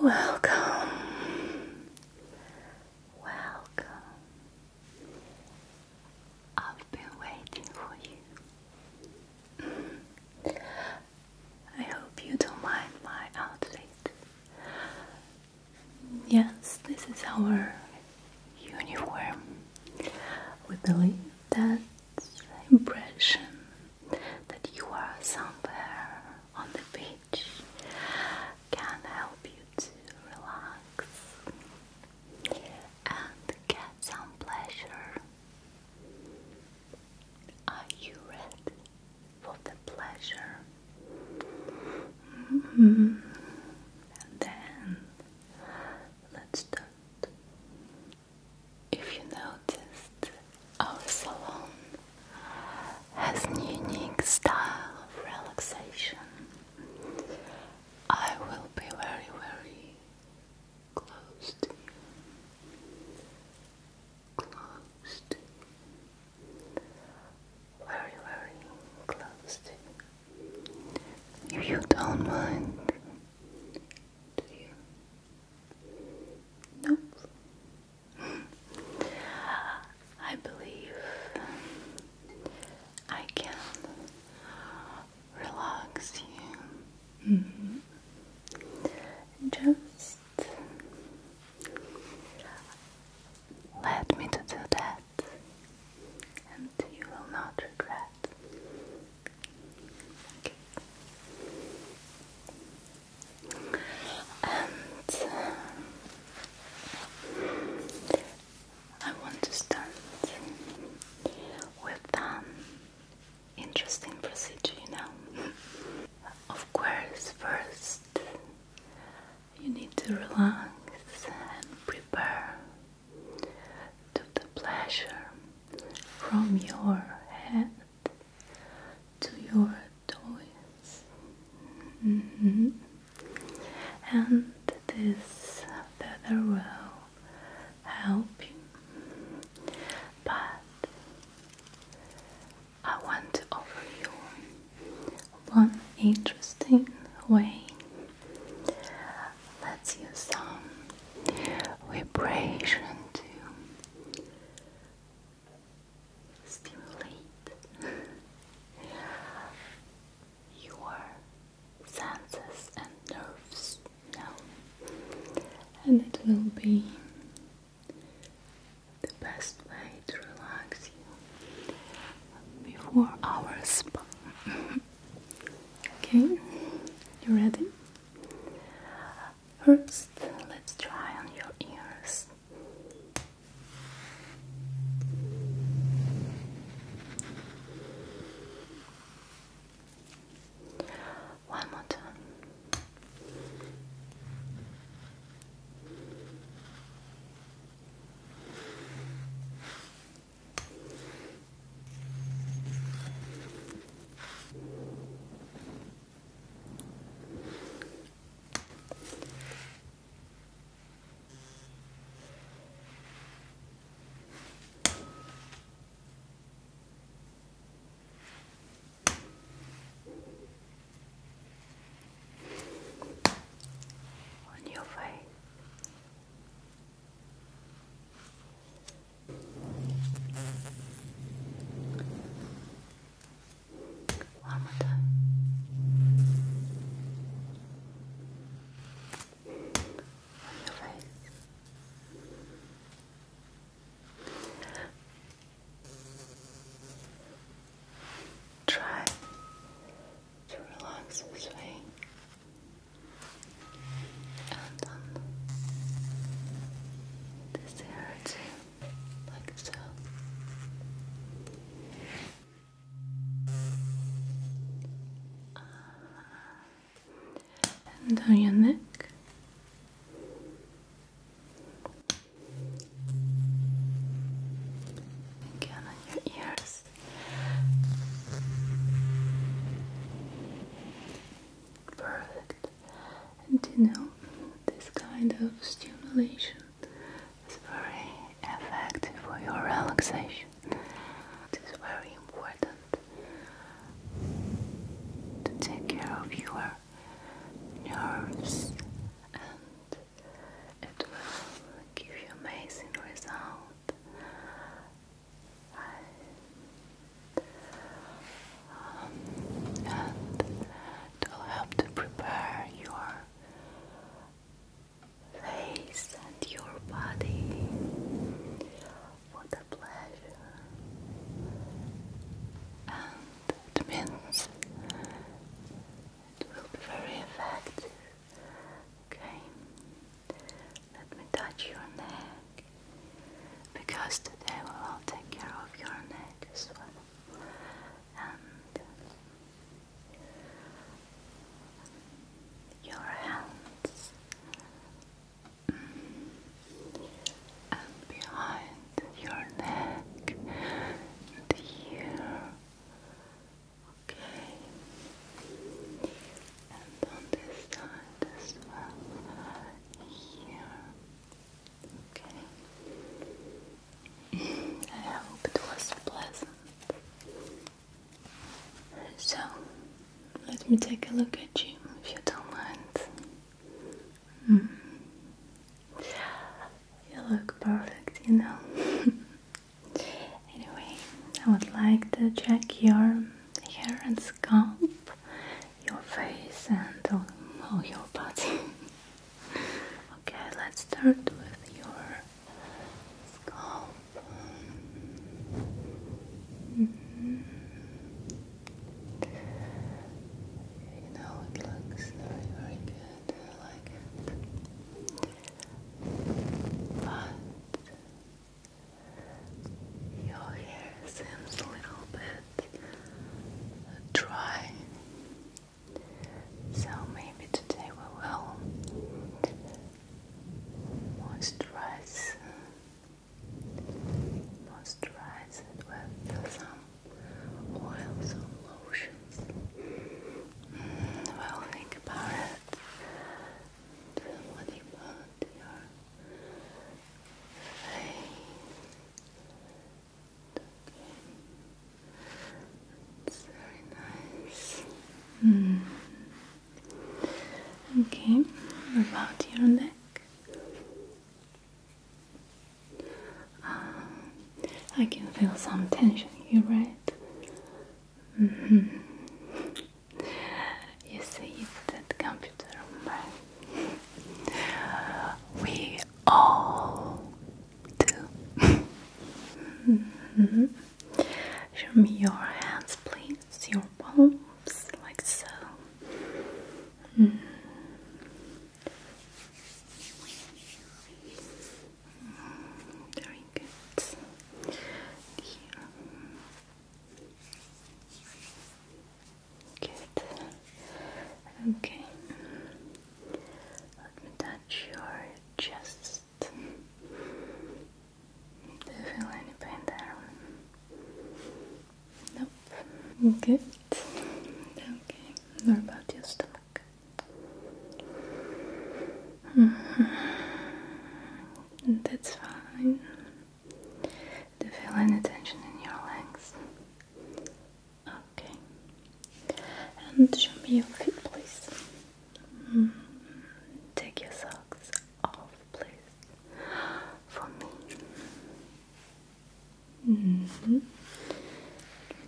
Welcome, welcome. I've been waiting for you. I hope you don't mind my outfit. Yes, this is our uniform. We believe that the impression that you are somewhere on the beach can help you to relax and get some pleasure. Are you ready for the pleasure? Mm-hmm. And then let's start. If you noticed, our salon has an unique style of relaxation. I will be very, very close to you. Close Very, very close to you. If you don't mind, do you? Nope. I believe I can relax you. Mm-hmm. Just let me to do that, you will not regret. Um, I want to start with an um, interesting procedure, you know. of course, first you need to relax and prepare to the pleasure from your head to your toes. Mm-hmm. And this feather will help you. But I want to offer you one interesting way Let's use some vibration to stimulate your senses and nerves now, and it will be the best way to relax you before our spa. Okay, you ready? First, let's try on your ears. One more time on your face. One more time. On your face. Try to relax this way and this hair too, like so. down your neck. Again on your ears this. you know, this kind of stimulation is very effective for your relaxation. It is very important to take care of your nerves and it will give you amazing result and it'll help to prepare your face and your body for the pleasure and it means it will be very effective Okay, let me touch your neck because today we will take care of your neck as well. And your hands and behind your neck and here Okay. And on this side as well. Here. Okay. I hope it was pleasant. So, let me take a look at you if you don't mind. You look perfect, you know. Anyway, I would like to check your hair and scalp, your face, and all, all your body. okay, let's start with your scalp. Mm-hmm. You know, it looks very, very good. I like it. But your hair seems a little bit dry, so maybe today we will moisturize, moisturize it with some oils or lotions. Mm, think about it. So what about your face? Okay. It's very nice. Okay, about your neck. Um, I can feel some tension here, right? Mm-hmm. You see that computer We all do. Mm-hmm. Show me your hands, please. Your palms, like so. Mm-hmm. Very good. Good. Okay. Let me touch your chest. Do you feel any pain there? Nope. Good. Okay. What about your stomach? Mm-hmm that's fine. Do you feel any tension in your legs? Okay. And show me your feet, please. Mm. Take your socks off, please. For me. Mm-hmm.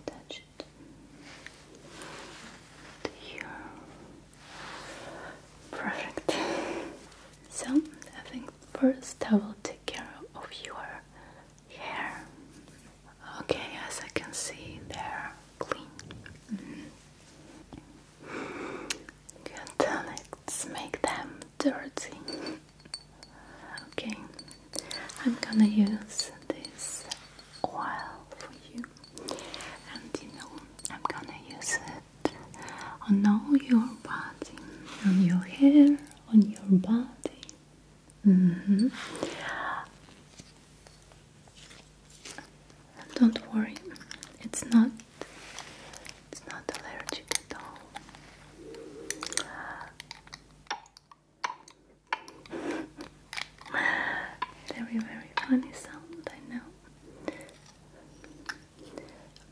touch it? Here. Perfect. So, I think first I will take care of your hair. Okay, as I can see, they're clean. Mm -hmm. let's make them dirty. Okay, I'm gonna use this oil for you and you know I'm gonna use it on all your body, on your hair, on your body. Mm-hmm. don't worry, it's not it's not allergic at all. Very, very funny sound, I know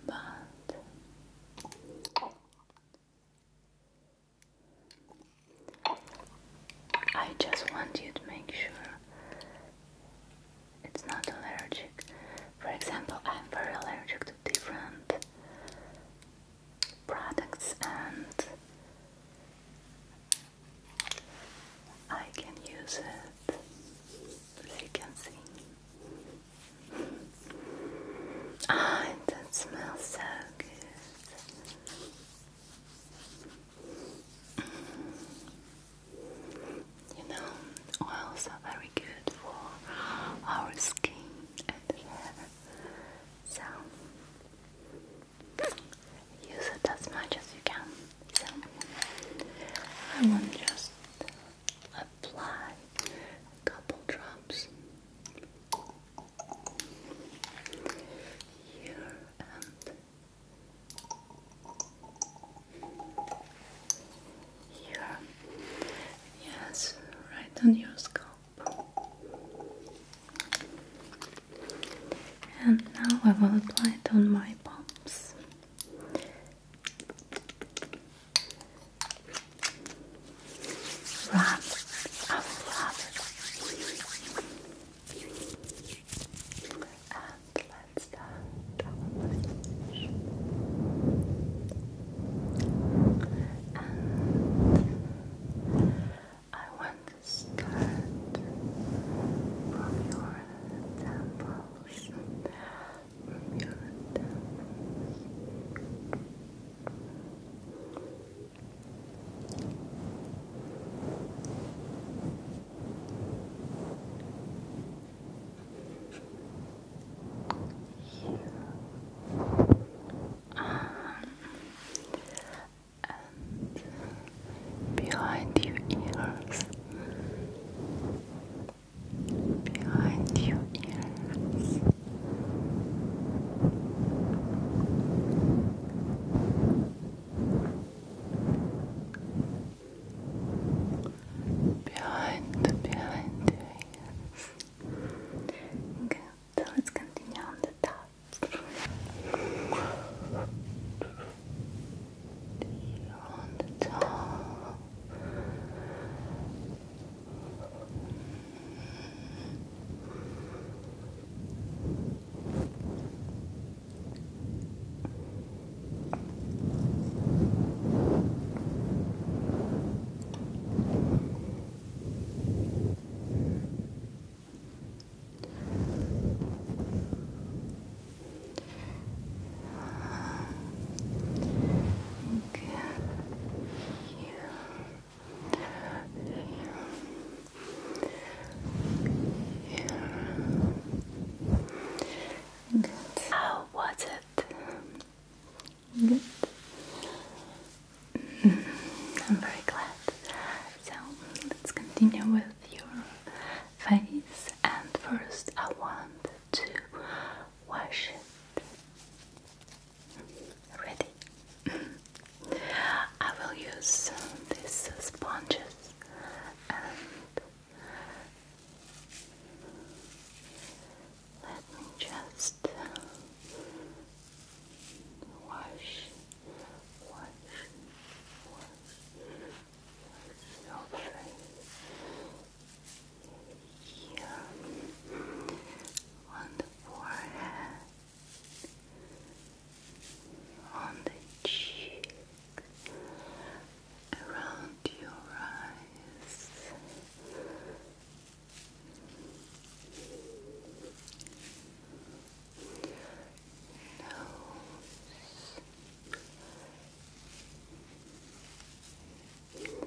but I just want you to make sure it's not allergic. For example, I'm very allergic to different products and I can use it, as you can see. Ah, oh, that smells so good. You know, oils are very good for our skin and hair. So, use it as much as you can. I want just apply a couple drops here and here. Yes, right on your scalp. And now I will apply it on my palms. Run after others. And let's start I want to start from your temples your temples you are um, hands behind your ears, behind your ears. Behind, behind your ears. Good, so let's continue on the top on the top. Good. Good. How was it? Good. I'm very glad. So let's continue with your face and first I want to wash it. Ready? I will use these sponges and let me just wash, wash, wash, so pretty. on the forehead, on the cheek, around your eyes nose, your chin, your forehead.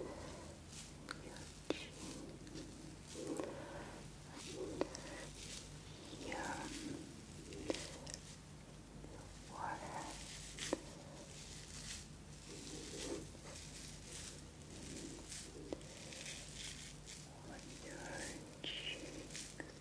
On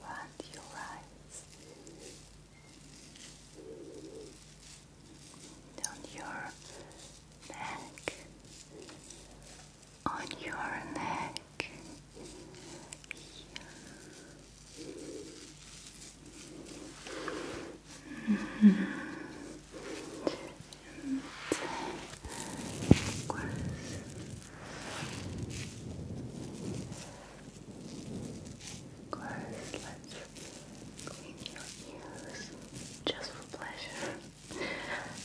around your eyes, down your neck, on your neck. Of course, let's clean your ears just for pleasure. and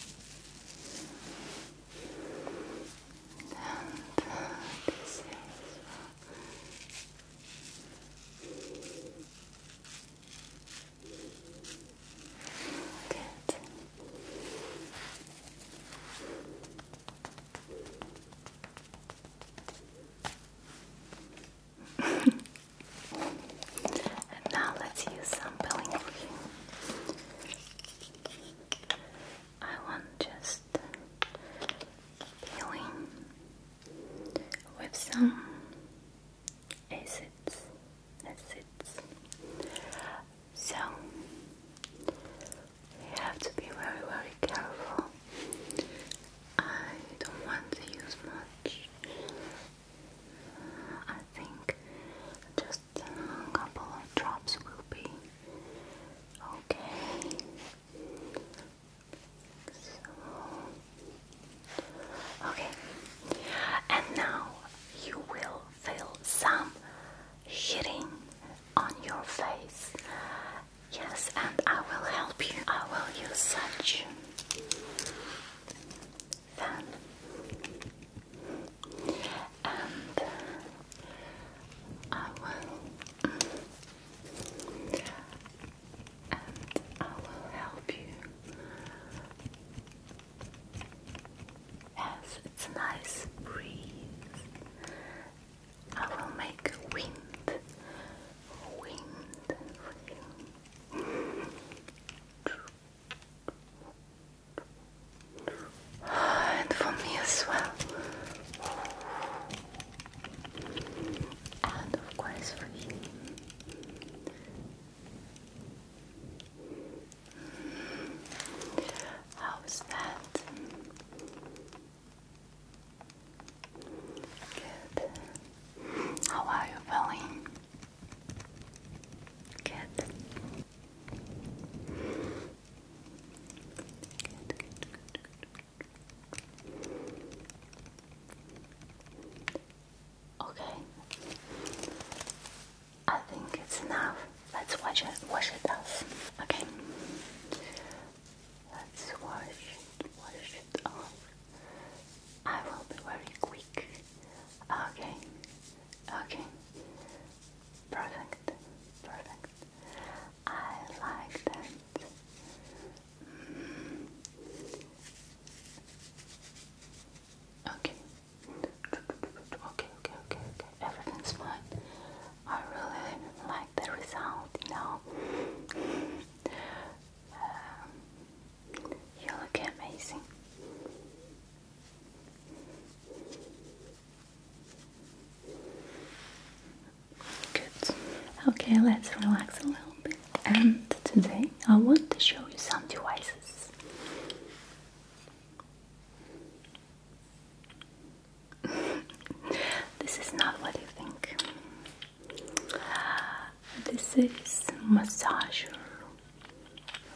this and now let's use some peeling I want just peeling with some acids, acids so we have to be very, very careful. I don't want to use much. I think just a couple of drops will be okay. So, okay, and now you will feel some hitting on your face. Yes, and I will help you. I will use such. and uh, I will, and I will help you Yes, it's a nice breeze. I will make wind, wind for And for me as well. And of course for How's that? Good. How are you feeling? Good. Good, good, good, good. Okay. I think it's enough. Let's watch it wash it off. Okay. Let's wash it wash it off. I will be very quick. Okay. Okay. Perfect. Perfect. I like that. Mm. Okay. Okay, okay, okay, okay. Everything's fine. I really like the result now. Um, you look amazing. Good. Okay, let's relax a little bit. And today I want to show you some devices this is not what you think. This is massager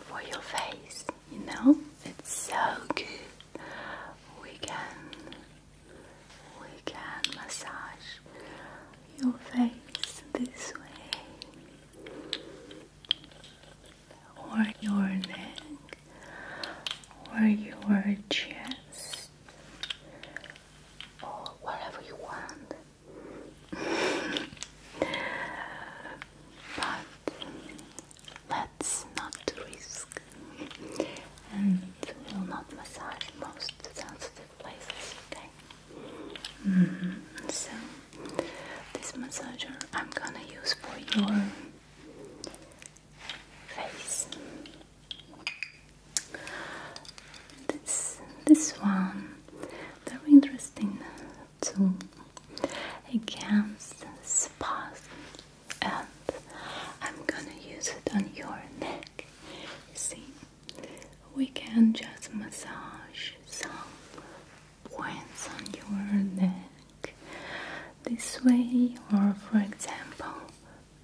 for your face. You know, it's so good. We can we can massage your face this way or your neck or your chest or whatever you want. but let's not risk and we'll not massage most sensitive places, okay? Mm-hmm. So, this massager I'm gonna use for your face. This, this one, very interesting too, against spots, and I'm gonna use it on your neck. see, we can just massage some points on your neck this way, or for example,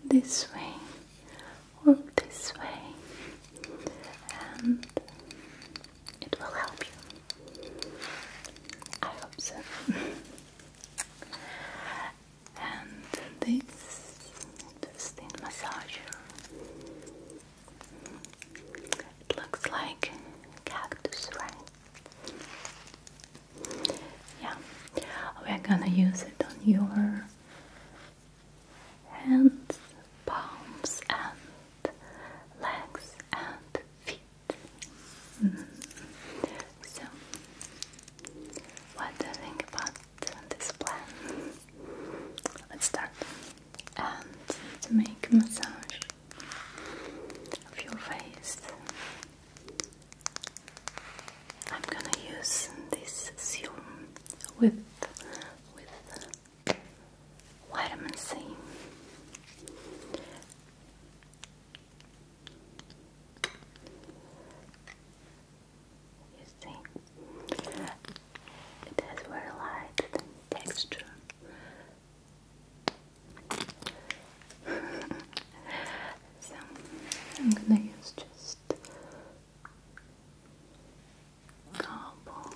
this way or this way, and it will help you. I hope so. and this steam massager. It looks like cactus, right? Yeah, we're gonna use it on your hands, palms, and legs and feet. Mm-hmm. So, what do you think about this plan? Let's start. And make massage of your face. I'm gonna use this serum with with vitamin C. You see, it has very light texture so I'm gonna use just a couple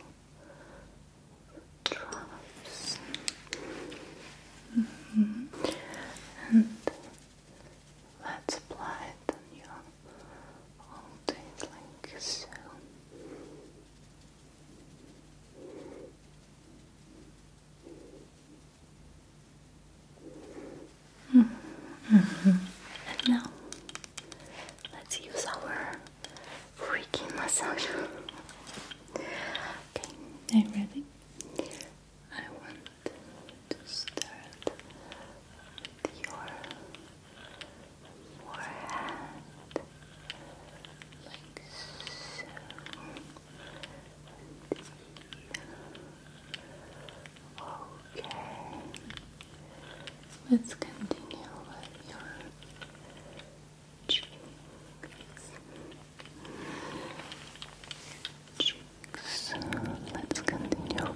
mm-hmm. And let's apply it on your whole day like now let's use our freaking massage. okay, are you ready? I want to start your forehead like so. Okay. Let's continue with your cheeks. Cheeks. Let's continue with you.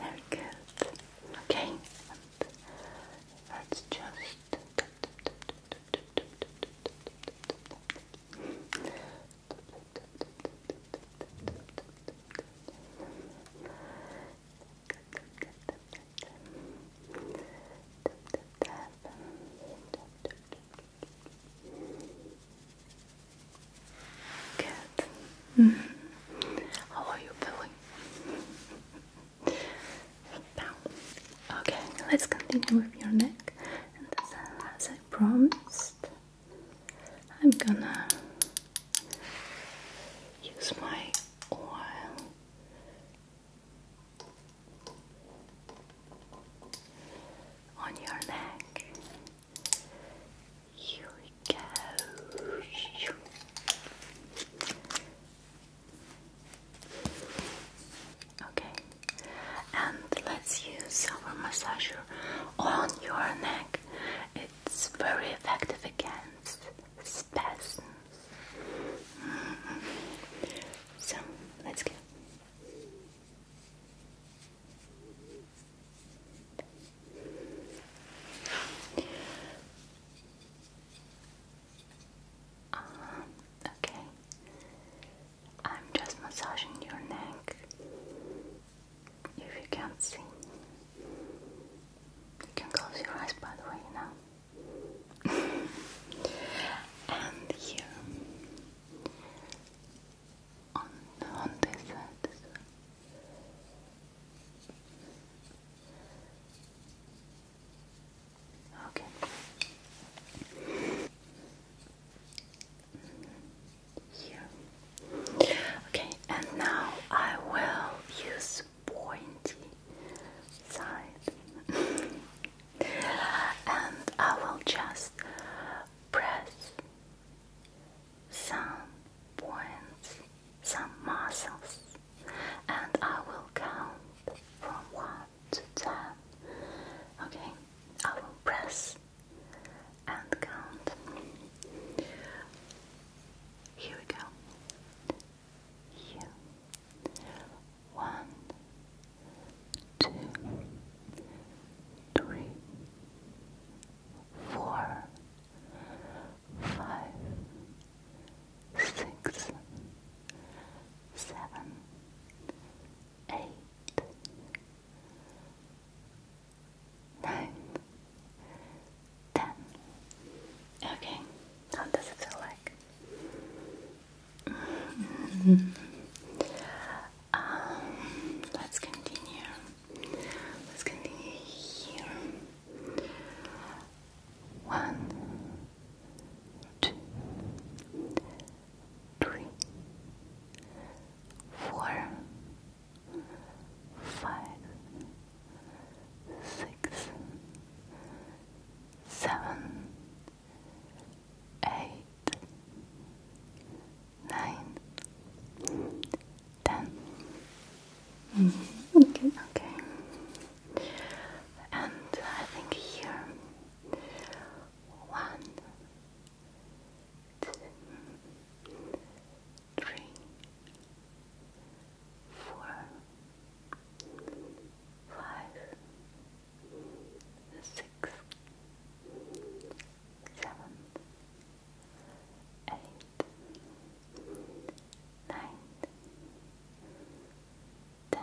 Very good. Okay, let's just Good. Mm-hmm. How are you feeling? Okay, let's continue with your neck. as I promised, I'm gonna use my oil. On your neck, here we go. Okay, and let's use our massager on your neck. It's very effective against spasms. Mm-hmm. So let's go. Um, okay. I'm just massaging your neck. If you can't see, you can close your eyes by the way now. and here on, on this side Okay. Here. Okay, and now I will use pointy side, and I will just press some points, some muscles, and I will count from 1 to 10. Okay, I will press and count. Here we go. One, two, three, four, five, six, seven, eight, nine, ten. Okay, how does it feel like? Um, let's continue. Let's continue here. One, two, three, four, five, six, seven, eight nine, ten. Mm Okay, okay. And I think here one, two, three, four, five, six, seven eight, nine, ten.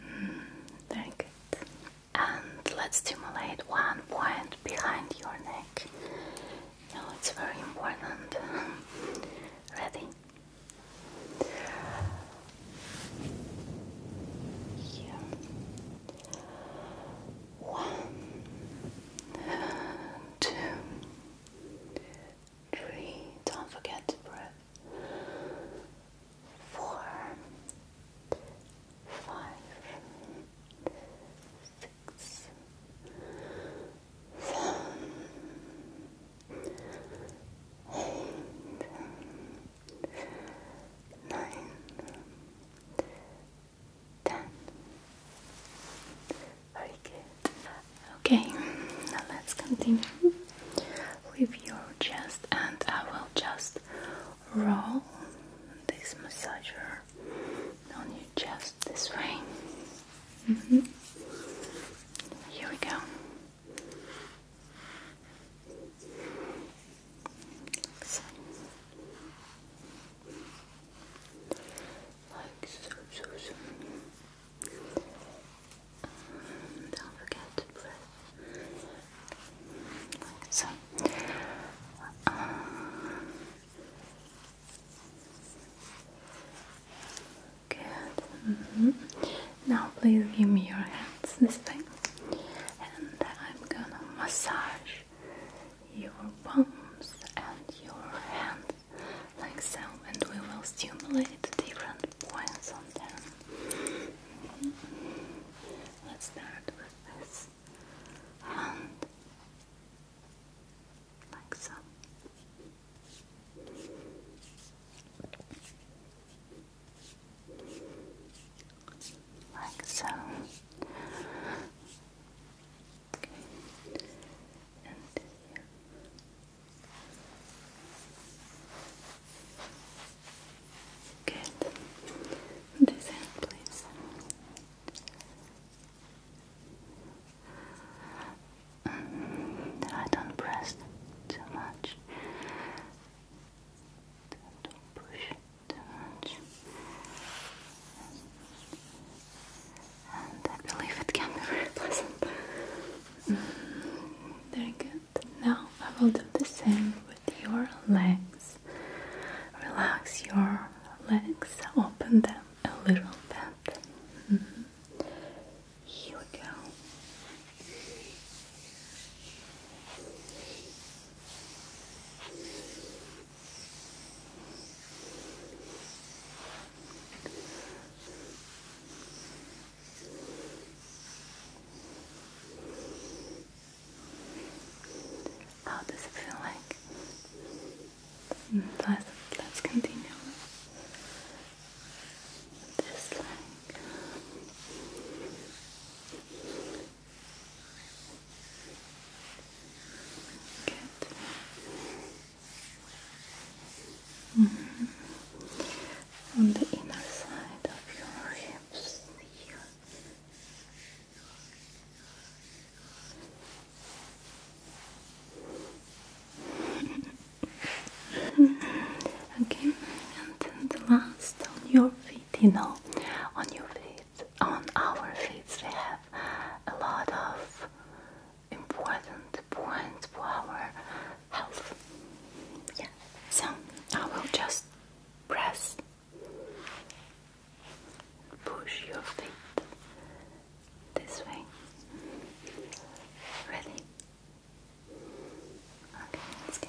Mm, very good. And let's stimulate one point behind your neck. No, it's very important. Ready? Here. One, two, three. Don't forget to breathe. Four, five, six, seven, eight nine, ten. Very Okay, now let's continue with your chest, and I will just roll this massager on your chest this way. Mm-hmm. Here we go so. Like so, so, so. Um, don't forget to breathe. so. Uh, good. Mm-hmm. Now, please give me your hands. This thing and I'm gonna massage your palms and your hands like so, and we will stimulate different points on them. Let's start with this hand, like so like so. Okay. And This end, please. I don't press too much. Don't push too much. And I believe it can be very pleasant. Mm, very good. Now I will do the same with your legs. Relax your legs, open them a little bit. Mm-hmm. Here we go. How does it feel like? Mm, let's, let's continue. Just Good. Mm -hmm. On the inner side of your hips here. okay, and then the last on your feet you know, on your feet, on our feet, we have a lot of important points for our health. Yeah, so I will just press, push your feet this way. Ready? Okay, let's go.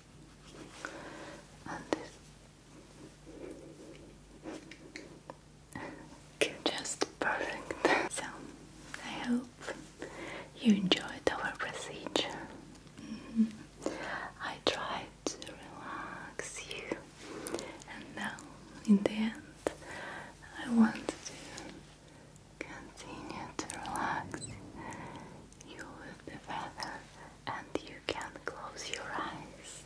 just perfect. So I hope you enjoyed our procedure. Mm-hmm. I tried to relax you, and now in the end, I want to continue to relax you use the feather and you can close your eyes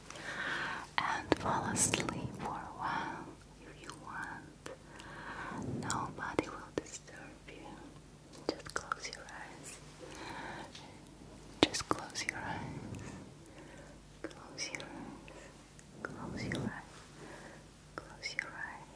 and fall asleep for a while if you want. Nobody will disturb you. Just close your eyes. Just close your eyes. Close your eyes. Close your eyes. Close your eyes.